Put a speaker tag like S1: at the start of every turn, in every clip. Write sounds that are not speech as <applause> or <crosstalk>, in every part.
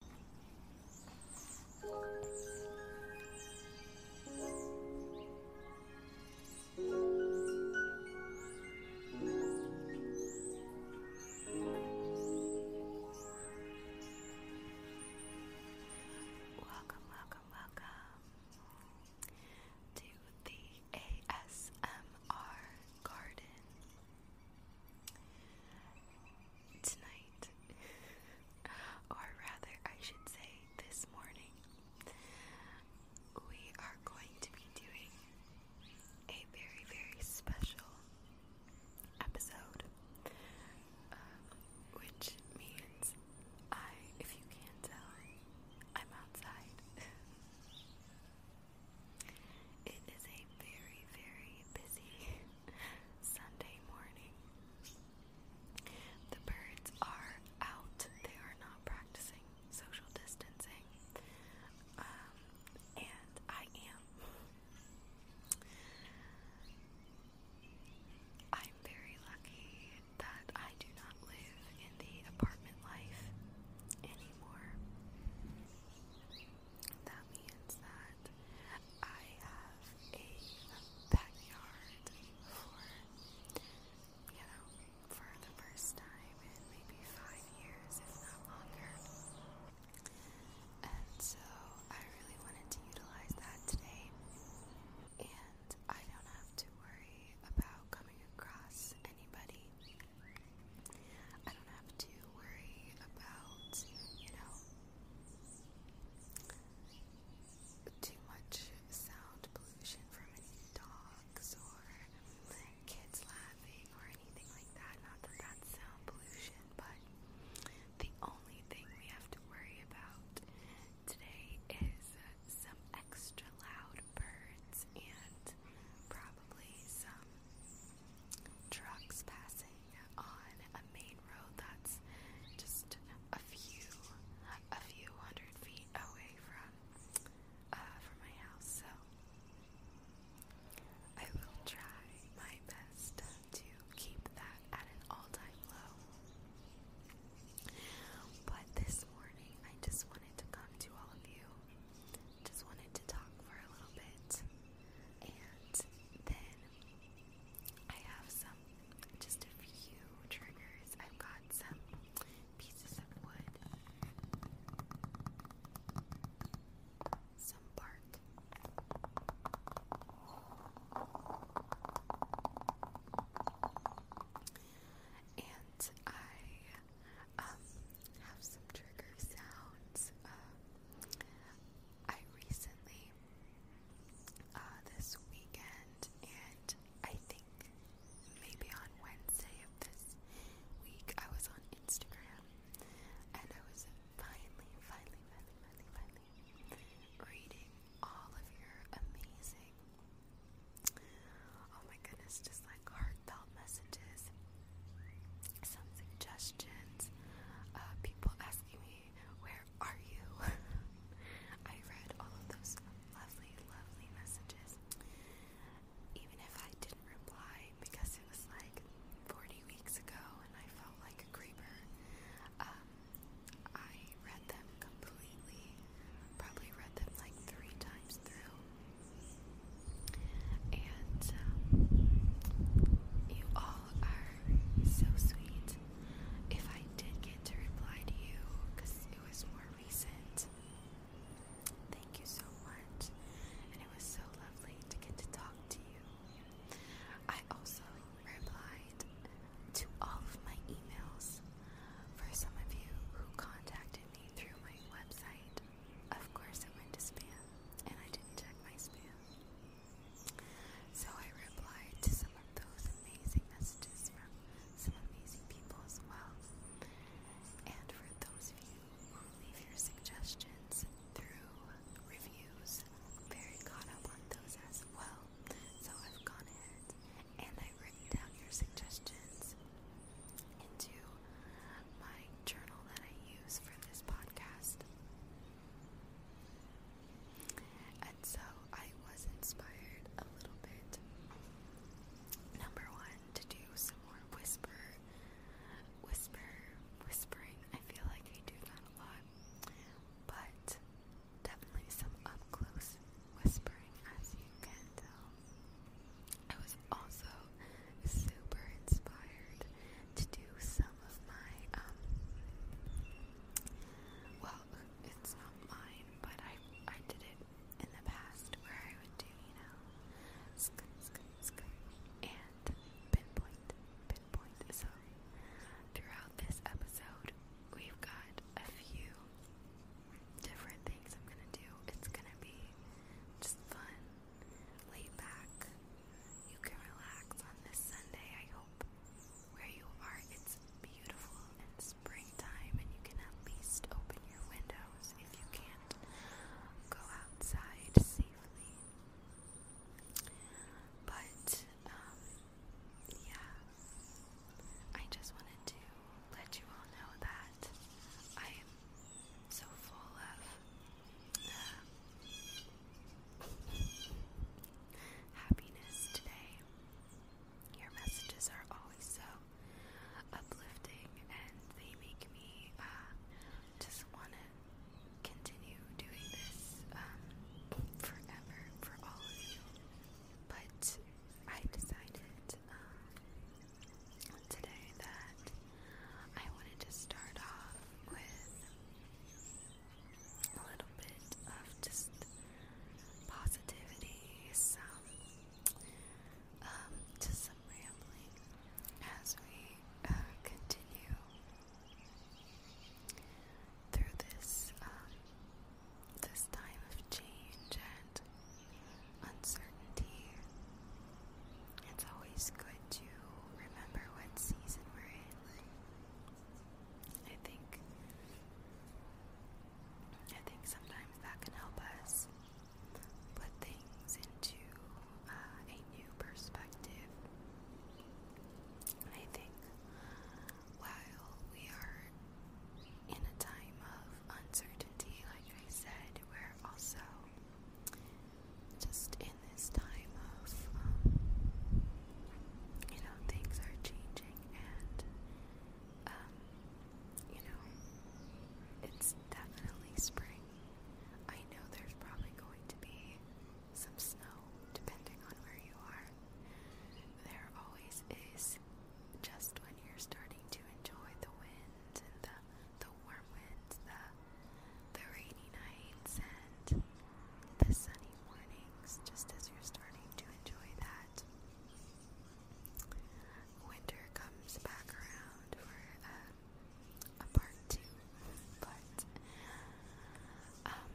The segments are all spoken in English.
S1: Welcome, welcome, welcome to the ASMR garden tonight, <laughs> or rather, I should say this morning, we are going to be doing a very, very special episode, um, which means I, if you can't tell, I'm outside. <laughs> It is a very, very busy Sunday morning. The birds are out. They are not practicing social distancing. Um, and I am. I'm very lucky that I do not live in the apartment life anymore. That means that I have a backyard for, you know, for the first time in maybe five years, if not longer. And so I really wanted to utilize that today. And I don't have to worry about coming across anybody. I don't have to worry about, you know, too much sound pollution from dogs or kids laughing or anything like that. Not that that's sound pollution, but the only thing we have to worry about today is some extra loud birds and probably some trucks passing on a main road that's just a few, a few hundred feet away from, uh, from my house. So I will try my best to keep that at an all-time low. But this morning, I just wanted to come to all of you. Just wanted to talk for a little bit. And then I have some, just a few triggers. I've got some pieces of wood, some bark. And I um, have some trigger sounds. Um, I recently uh, this weekend, and I think maybe on Wednesday of this week, I was on Instagram, and I was finally, finally, finally, finally, reading all of your amazing, oh my goodness, just like heartfelt messages, some suggestions, uh, people asking me where are you? <laughs> I read all of those lovely, lovely messages. Even if I didn't reply because it was like 40 weeks ago and I felt like a creeper, um, I read them completely. Probably read them like three times through. And um, you all are so sweet. If I did get to reply to you, because it was more recent, thank you so much. And it was so lovely to get to talk to you. I also replied to all of my emails for some of you who contacted me through my website. Of course, I went to spam, and I didn't check my spam. So I replied to some of those amazing messages from some amazing people as well. And for those of you who leave your suggestions through reviews, very caught up on those as well. So I've gone ahead and I've written down your suggestions into my journal that I use for this podcast. And so I was inspired a little bit, number one, to do some more whisper, whisper, whispering. I feel like I do that a lot, but definitely some up close whispering, as you can tell. I was also super inspired to do some um, well, it's not mine, but I, I did it in the past where I would do, you know, and pinpoint, pinpoint. So, throughout this episode, we've got a few different things I'm gonna do. It's gonna be just fun, laid back, you can relax on this Sunday, I hope. Where you are, it's beautiful and springtime, and you can at least open your windows if you can't go outside safely. But, um, yeah, I just wanted to let you all know that I am so full of uh, happiness today. Your messages are always so uplifting and they make me uh, just want to continue doing this um, forever for all of you. But I decided um, today that I wanted to start off with a little bit of just positivity, some um, just some rambling as we uh, continue through this um, this time of change and uncertainty. It's always good to remember what season we're in. I think I think sometimes that can help us put things into uh, a new perspective. I think while we are in a time of uncertainty, like I said, we're also just in this time of, um, you know, things are changing and, um, you know, it's definitely spring. I know there's probably going to be some snow depending on where you are. There always is just when you're starting to enjoy the wind and the the warm winds, the the rainy nights and the sunny mornings just as you're starting to enjoy that. Winter comes back around for uh, a part two, but um,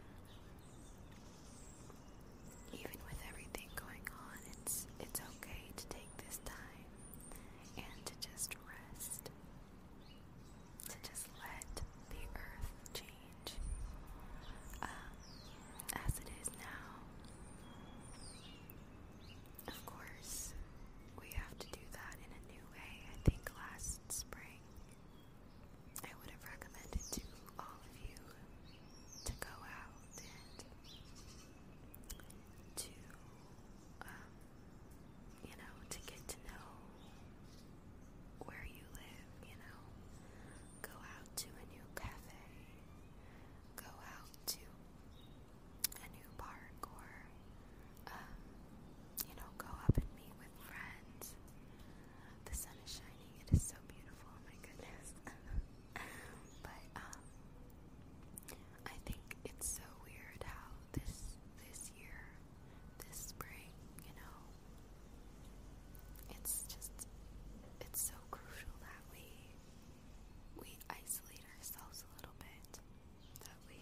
S1: even with everything going on, it's it's okay to take this time and to just rest to just let the earth change um, as it is now. Of course, we have to do that in a new way. I think last spring I would have recommended to all of you to go out and to, um, you know, to get to know where you live, you know. Go out to a new cafe, go out to a new park, or, um, you know, go up and meet with friends. The sun is shining, it is so beautiful, oh my goodness. <laughs> but, um, I think it's so weird how this this year this spring, you know. It's just it's so crucial that we we isolate ourselves a little bit. That we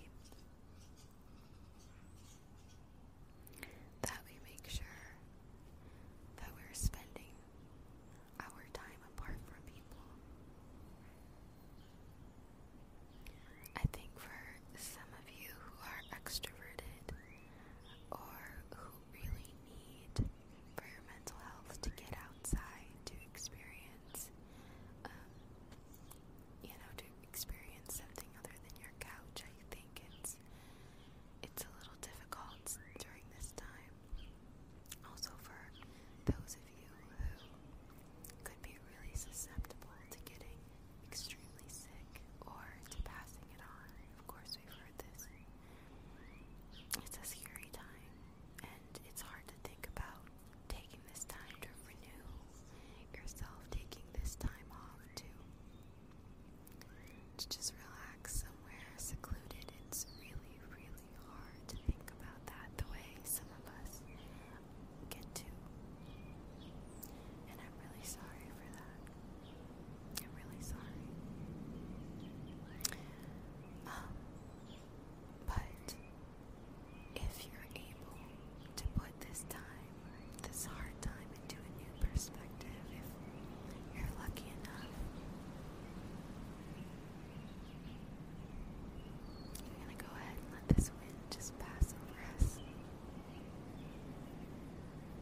S1: that we make sure that we're spending our time apart from people. I think for some of you who are extroverted, or who really need for your mental health to get outside to experience, um, you know, to experience something other than your couch. I think it's it's a little difficult during this time. Also for those of you who could be really susceptible to getting extremely sick or to passing it on. Of course, we've heard this. It's a scary time, and it's hard to think about taking this time to renew yourself, taking this time off to to just relax somewhere secluded. It's really, really hard to think about that the way some of us get to. And I'm really sorry for that. I'm really sorry. Um, but if you're able to put this time, this hard time, into a new perspective, if you're lucky enough, I'm gonna go ahead and let this wind just pass over us.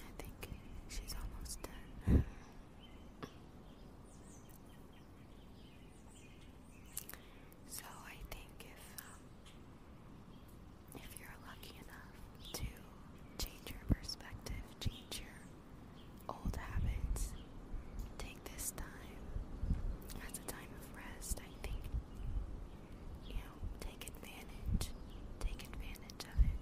S1: I think she's almost done. so I think if um, if you're lucky enough to change your perspective, change your old habits, take this time as a time of rest, I think you know, take advantage, take advantage of it.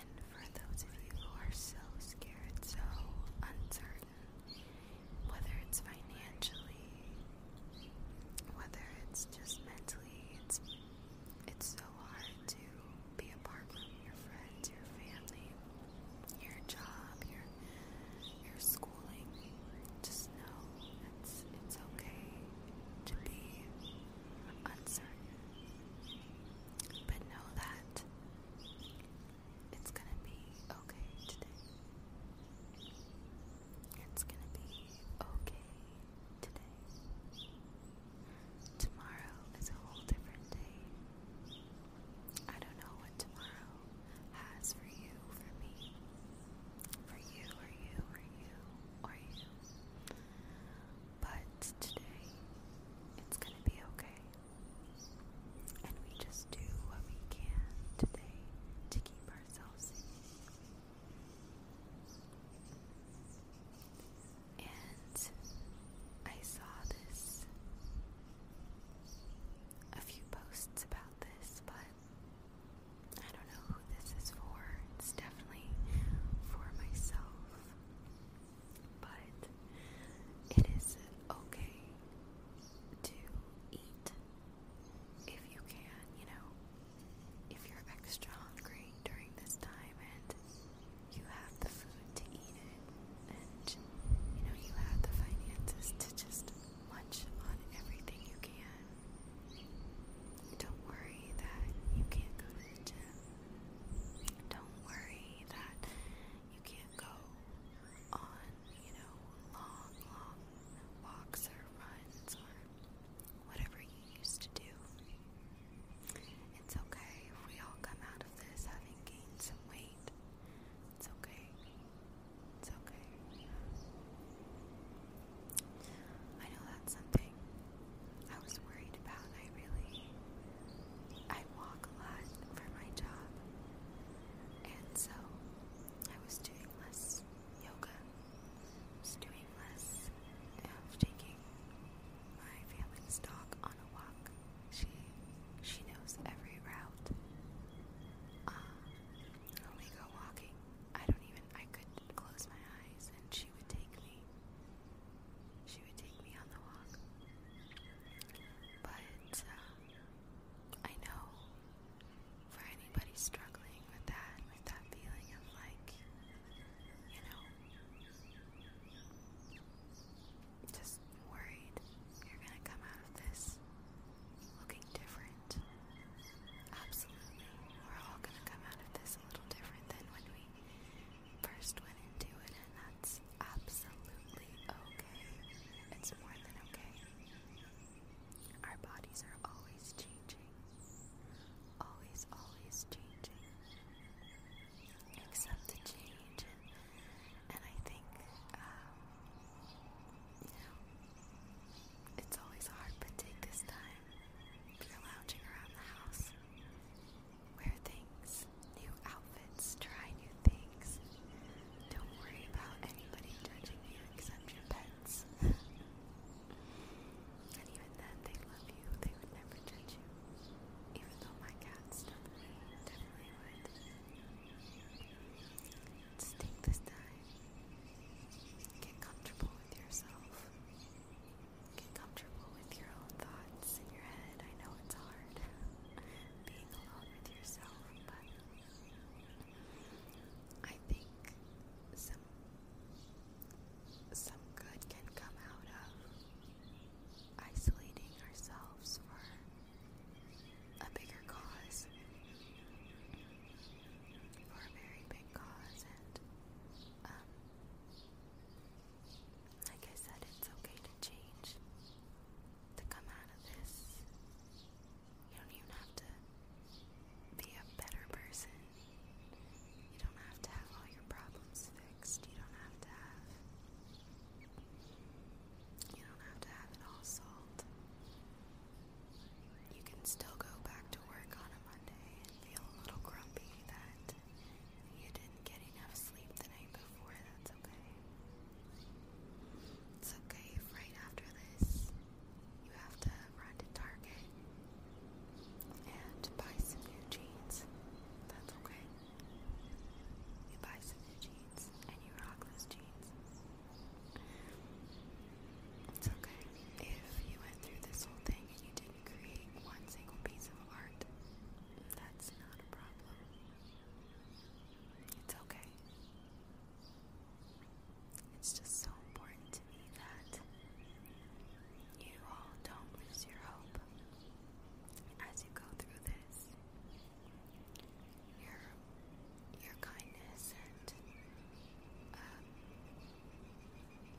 S1: And for those of you who are so scared, so uncertain, whether it's financially, whether it's just mentally, it's it's so hard to be apart from your friends, your family, your job, your your schooling. Just know it's it's okay to be uncertain. But know that it's going to be okay today. It's going to be okay today. Tomorrow is a whole different day. I don't know what tomorrow has for you, for me for you or you or you or you. But today, it's gonna be okay. And we just do what we can today to keep ourselves safe. And I saw this, a few posts about this, but I don't know who this is for. It's definitely for myself. But it is okay to eat if you can, you know. If you're extra hungry during this time and you have the food to eat it, and you know, you have the finances to just munch on everything you can, don't worry that you can't go to the gym. Don't worry that you can't go on, you know, long, long walks or runs or whatever you used to do. It's okay if we all come out of this having gained some weight. It's okay. It's okay. I know that's something I was worried about. I really I walk a lot for my job. And so I was doing less yoga. I was doing less of taking my family's dog on a walk. She she knows every route. when um, we go walking, I don't even I could not close my eyes and she would take me. She would take me on the walk. But uh, I know for anybody struggling with that, with that feeling of like, you know, just worried you're gonna come out of this looking different. Absolutely. We're all going to come out of this a little different than when we first went into it, and that's absolutely okay. It's more than okay. Our bodies are always changing. Always, always changing. Accept the change, and, I think, um, it's always hard, but take this time you're lounging around the house. Wear things, new outfits, try new things. Don't worry about anybody judging you except your pets. <laughs> and even then, they love you, they would never judge you. Even though my cats definitely would. Let's take this time Get comfortable with yourself. Get comfortable with your own thoughts in your head. I know it's hard <laughs> being alone with yourself, but I think some some good can come out of isolating ourselves for a bigger cause for a very big cause, and like um, I said, it's okay to change, to come out of this. You don't even have to be a better person. You don't have to have all your problems fixed. You don't have to have. You don't have to have it all solved you can still go back to work on a Monday and feel a little grumpy that you didn't get enough sleep the night before. That's okay. It's okay if right after this you have to run to Target and buy some new jeans. That's okay. You buy some new jeans and you rock those jeans. It's okay if you went through this whole thing and you didn't create one single piece of art. That's not a problem. It's okay. It's just so important to me that you all don't lose your hope as you go through this. Your your kindness and um,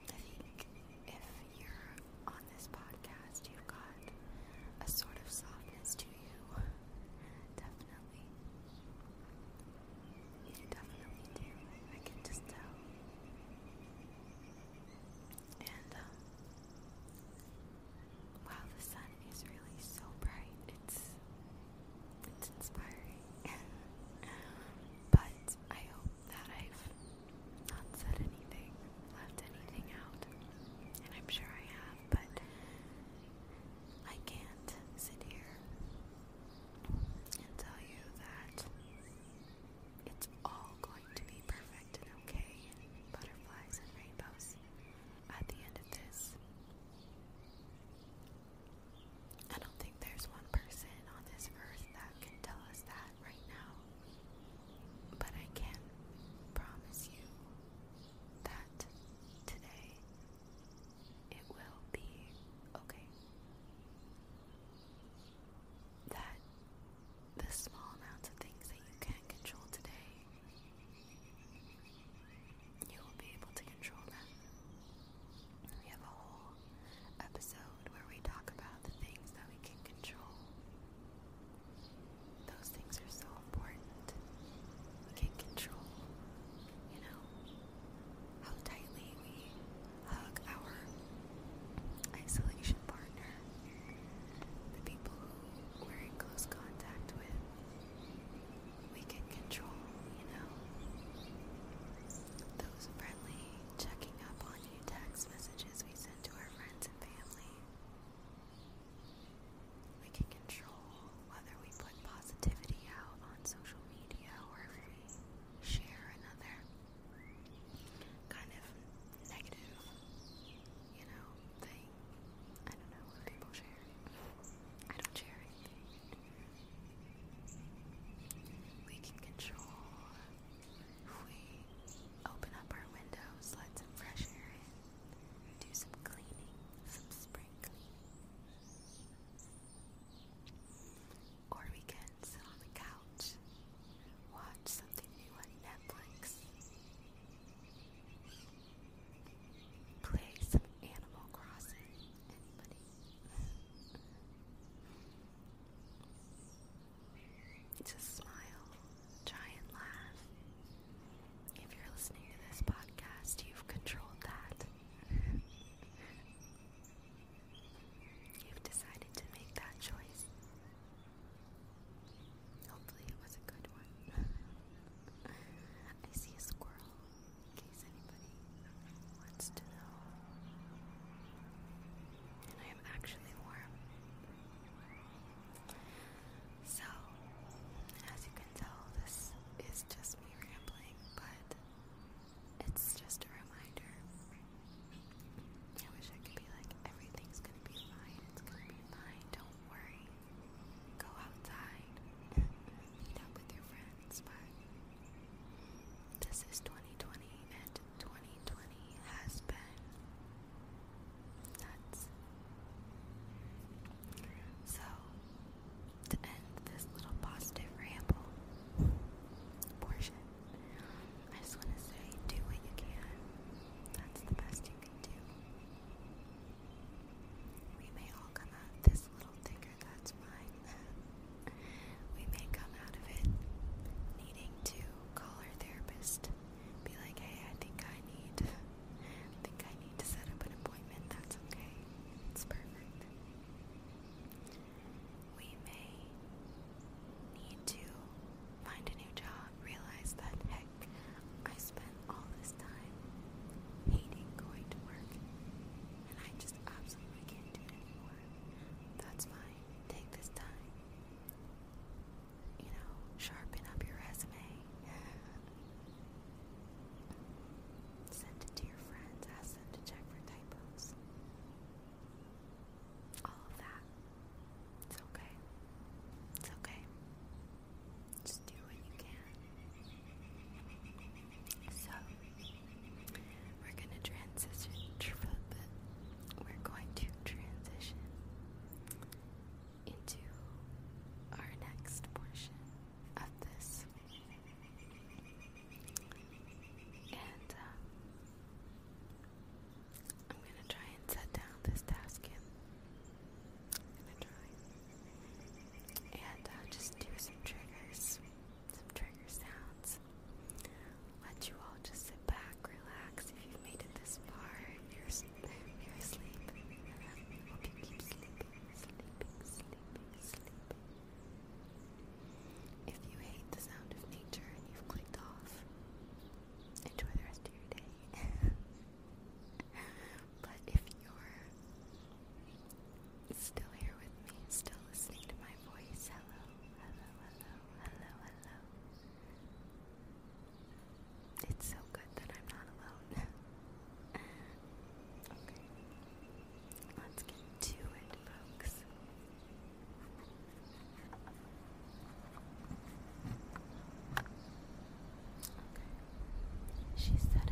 S1: I think if you're on this podcast, you've got a sort of softness to you. definitely. You definitely do. I can just tell. And, um, the sun is really so bright. It's it's inspiring. but I hope that I've not said anything, left anything out. And I'm sure I have, but I can't sit here and tell you that it's all going to be perfect and okay. Butterflies and rainbows. At the end of this, I don't think there's one person on this earth that can tell us that right now. But I can promise you that today it will be okay. That the small amounts of things that you can control today, you will be able to control them. We have a whole episode where we talk about the things that we can control. Those things are so important. We can control, you know, how tightly we hug our isolation partner, the people who are in close contact with. We can control, you know, those friendly checking up on new text messages we send to our friends and family. We can control whether we put positivity out on social media or if we share another kind of negative, you know, thing. I don't know what people share. I don't share anything. We can control we open up our windows, let some fresh air in, do some cleaning, some spring cleaning. Or we can sit on the couch, watch something new on Netflix, play some Animal Crossing. Just smile, try and laugh. If you're listening to this podcast, you've controlled that. you've decided to make that choice. Hopefully, it was a good one. <laughs> I see a squirrel case anybody wants to know. I am actually warm. So, as you can tell, this is just me rambling, but it's just a reminder. I wish I could be like, everything's gonna be fine, it's gonna be fine, don't worry. Go outside, <laughs> meet up with your friends, but this is 2020, and 2020 has been So, to end this little positive ramble portion, I just want to say do what you can. That's the best you can do. We may all come out this little thicker, that's fine. <laughs> we may come out of it needing to call our therapist, be like, hey, I think I need, think I need to set up an appointment. That's okay. That's perfect. We may need to find a new job, realize that, heck, I spent all this time hating going to work, and I just absolutely can't do it anymore. That's fine. Take this time. You know, sharpen up your resume. Send it to your friends. Ask them to check for typos. All of that. It's okay. It's okay. Just do what you can. So, we're going to transition. We're going to transition into our next portion of this. And um, I'm going to try and set down this task in. I'm uh, just do some triggers some trigger sounds. Let you all just sit back, relax. If you've made it this far, you're, you're asleep. <laughs> Hope you keep sleeping, sleeping, sleeping, sleeping. If you hate the sound of nature and you've clicked off, enjoy the rest of your day. <laughs> but if you're still here with me, still listening to my voice, hello hello, hello, hello, hello. It's so good that I'm not alone. <laughs> okay, let's get to it, folks. she's set up.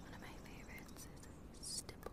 S1: One of my favorites is Stipple.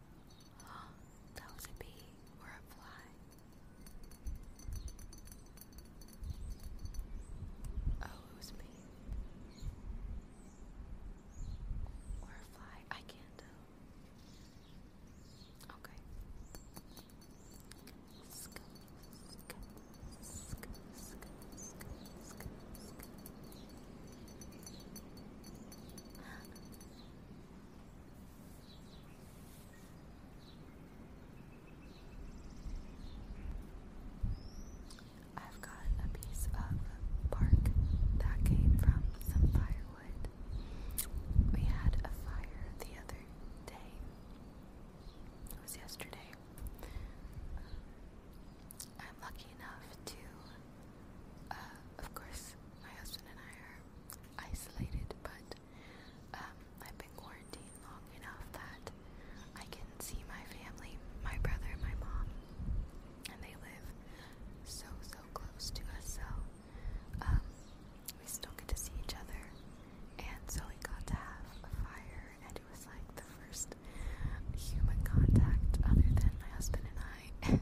S1: <gasps> that was a bee or a fly. Oh, it was a Or a fly. I can't tell. Okay. I've got a piece of bark that came from some firewood. We had a fire the other day. It was yesterday. Uh, I'm lucky enough to, uh, of course, my husband and I are isolated, but um, I've been quarantined long enough that I can see my family, my brother, my mom, and they live so, so close to us, so um, we still get to see each other. And so we got to have a fire, and it was like the first human contact other than my husband and I. <laughs>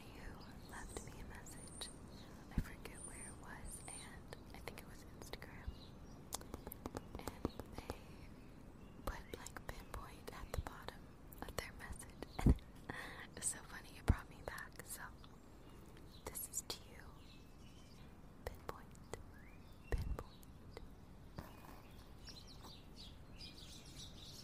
S1: who left me a message. I forget where it was, and I think it was Instagram. And they put like pinpoint at the bottom of their message. And <laughs> so funny, it brought me back. So, this is to you. Pinpoint. Pinpoint.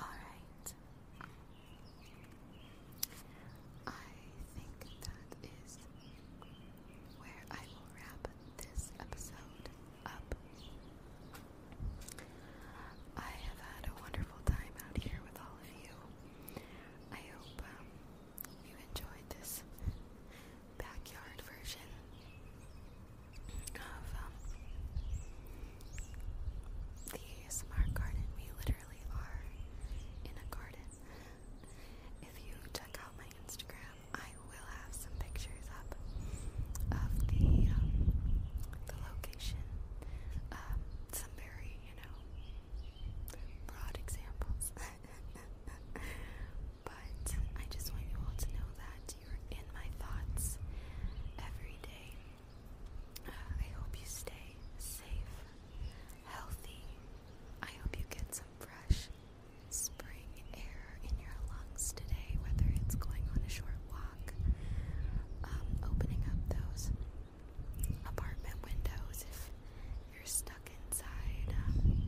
S1: Alright. I think that is where I will wrap this episode up. I have had a wonderful time out here with all of you. I hope um, you enjoyed this backyard version of um, the ASMR garden. We literally are in a garden. If you check out my Instagram, I will have some pictures up of the um, the location. Um, some very, you know, broad examples. <laughs> But I just want you all to know that you're in my thoughts every day. Uh, I hope you stay safe, healthy. I hope you get some fresh spring air in your lungs today, whether it's going on a short walk, um, opening up those apartment windows if you're stuck inside. Um,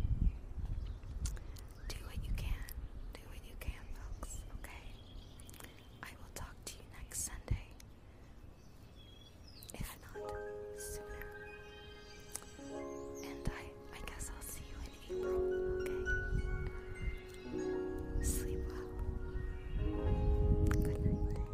S1: do what you can. Do what you can, folks, okay? I will talk to you next Sunday. If not, sooner. And I I guess I'll see you in April, okay? Sleep well. Good night.